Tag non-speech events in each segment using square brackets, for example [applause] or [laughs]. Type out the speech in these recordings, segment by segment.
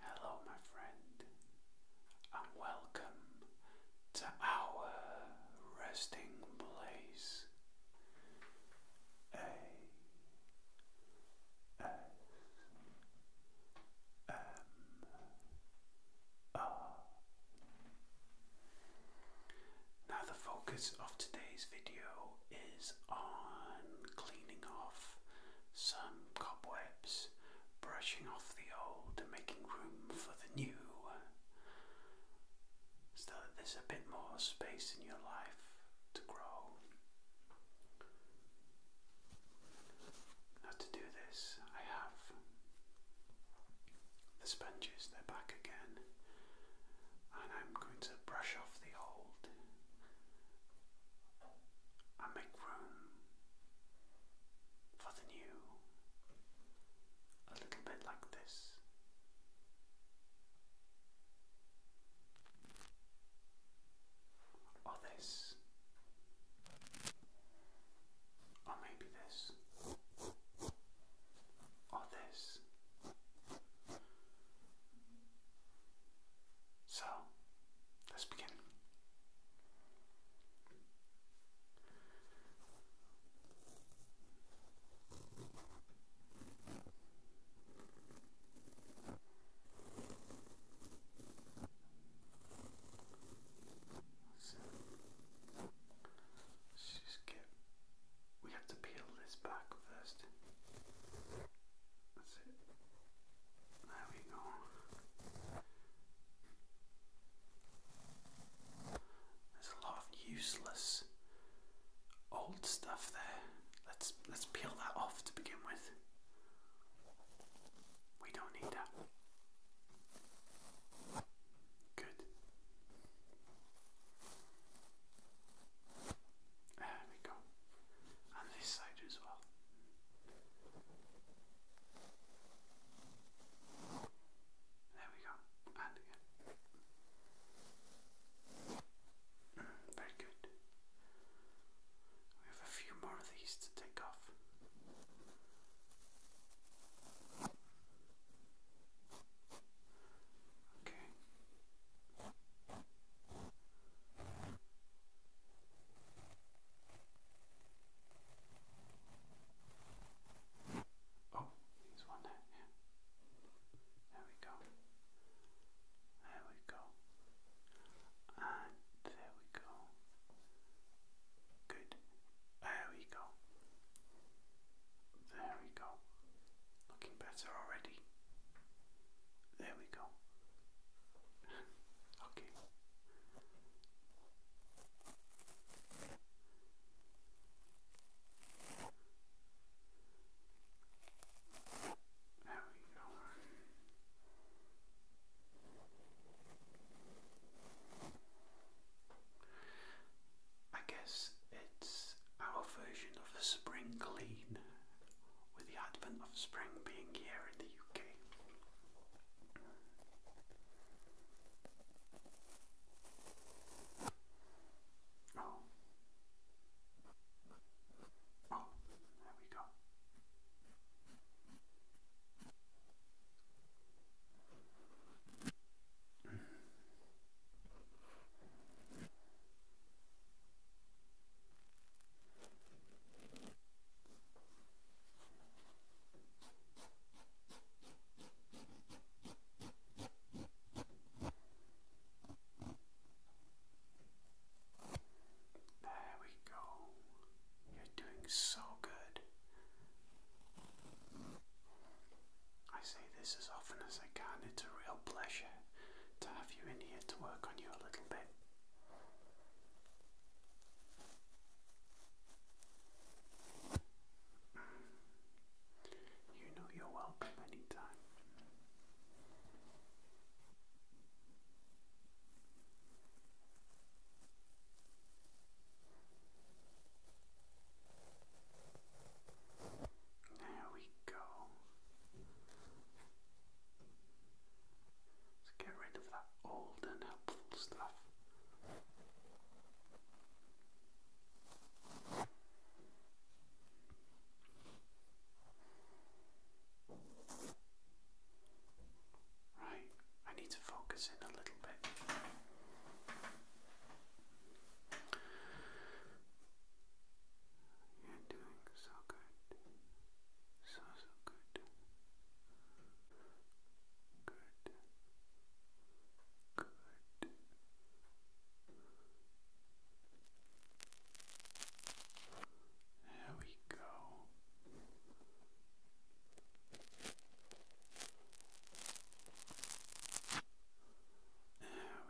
Hello, my friend, and welcome to our resting place. A S M R. Now, the focus of today's video is on cleaning off some cobwebs, brushing off the old and making room for the new, so that there's a bit more space in your life to grow. Now, to do this, I have the sponges, they're back again, and I'm going to brush off the old and make room for the new a little bit like this. Or this, or maybe this, or this, so, let's begin. Let's just get we have to peel this back first. That's it. There we go. There's a lot of useless old stuff there. Let's let's peel that off to begin with. We don't need that. Good. There we go. And this side as well. There we go. And again. Mm, very good. We have a few more of these to take off. Okay. Oh, he's one there. There we go. There we go. And there we go. Good. There we go. There we go. Looking better already. There we go. [laughs] okay. There we go. I guess it's our version of the spring clean with the advent of spring being here in the UK. Oh. Oh, there we go. Hmm. There we go. You're doing so good. I say this as often as I can, it's a real pleasure to have you in here to work on you a little bit. You know you're welcome anytime. There we go. Let's get rid of that old and helpful stuff. Right, I need to focus in a little bit. You're doing so good. So, so good. Good. Good. There we go. There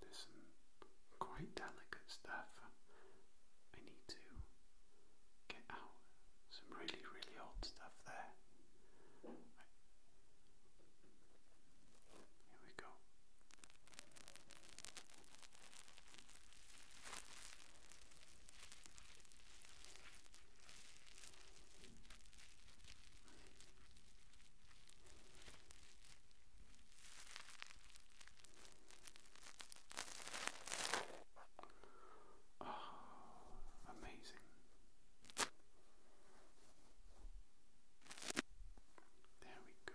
There's some quite delicate stuff I need to get out. Some really, really old stuff there. Right. Here we go. Oh, amazing. There we go.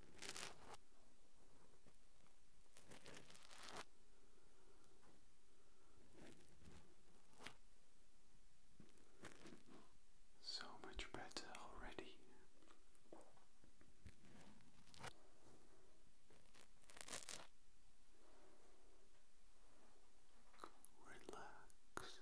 So much better already. Relax,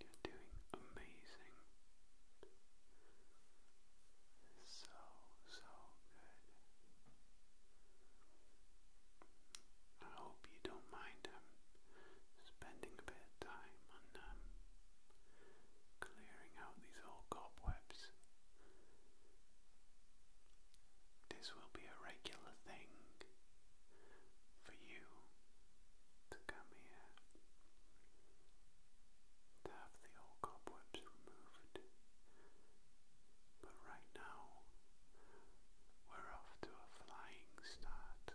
You're doing amazing. So, so good. I hope you don't mind um, spending a bit of time on um, clearing out these old cobwebs. This will be a regular thing for you to come here, to have the old cobwebs removed. But right now, we're off to a flying start.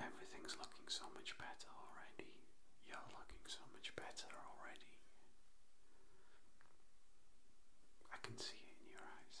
Everything's looking so much better already. You're looking so much better already. I can see it in your eyes.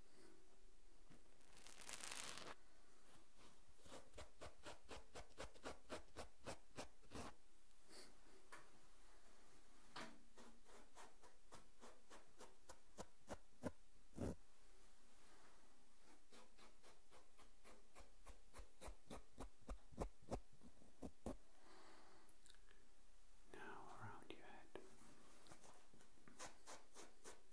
Now around your head.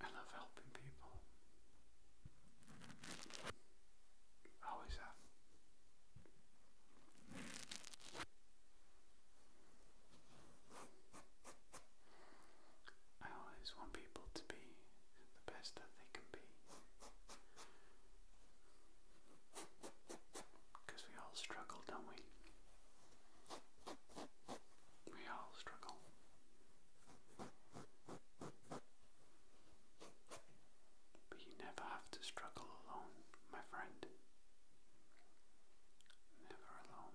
I love helping people. I always I always want people to be the best that they can be. Because we all struggle, don't we? We all struggle. But you never have to struggle alone, my friend. Never alone.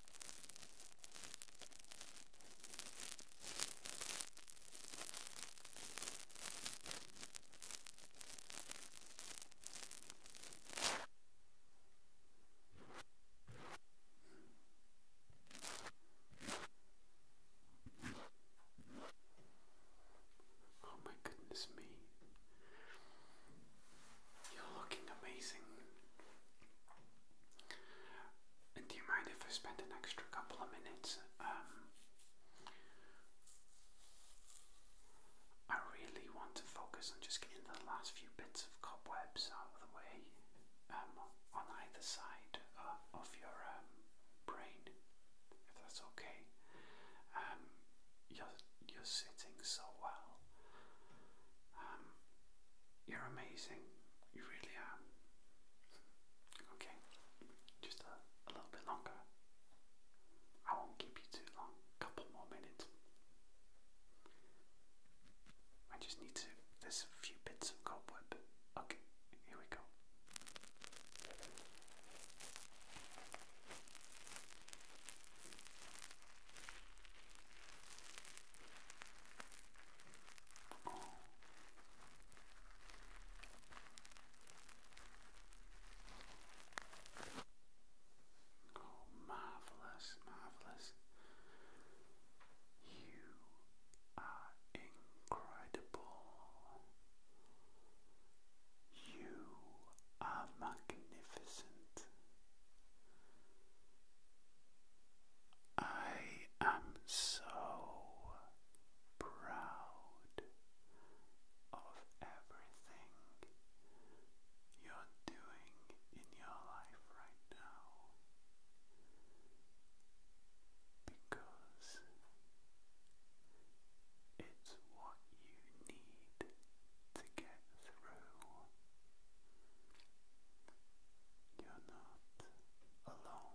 Oh my goodness me. You're looking amazing. Do you mind if I spend an extra couple of minutes? Um, I really want to focus on just getting the last few bits of cobwebs out of the way um, on either side of your um, brain, if that's okay. you're, you're sitting so well. You're amazing. You really are. Okay, just a, little bit longer. I won't keep you too long. Couple more minutes. I just need to. There's a few bits of cobweb. Okay, here we go. Oh, marvelous, marvelous. You are incredible. You are magnificent. I am so proud of everything you're doing in your life right now because it's what you need to get through. You're not alone.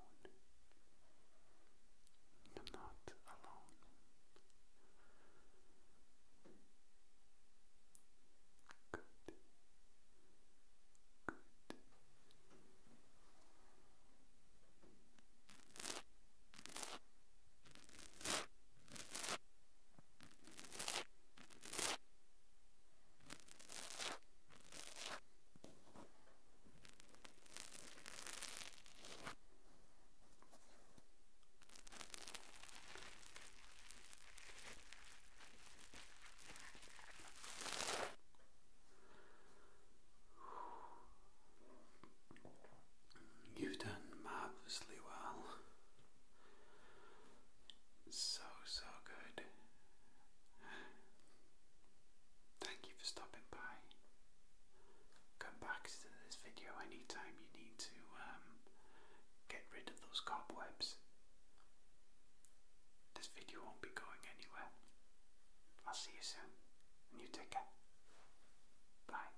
You're not alone. Good. Good. You've done marvellously well. So, so good. Thank you for stopping by. Come back to this video anytime you need to um, get rid of those cobwebs. This video won't be going anywhere. I'll see you soon. And you Bye.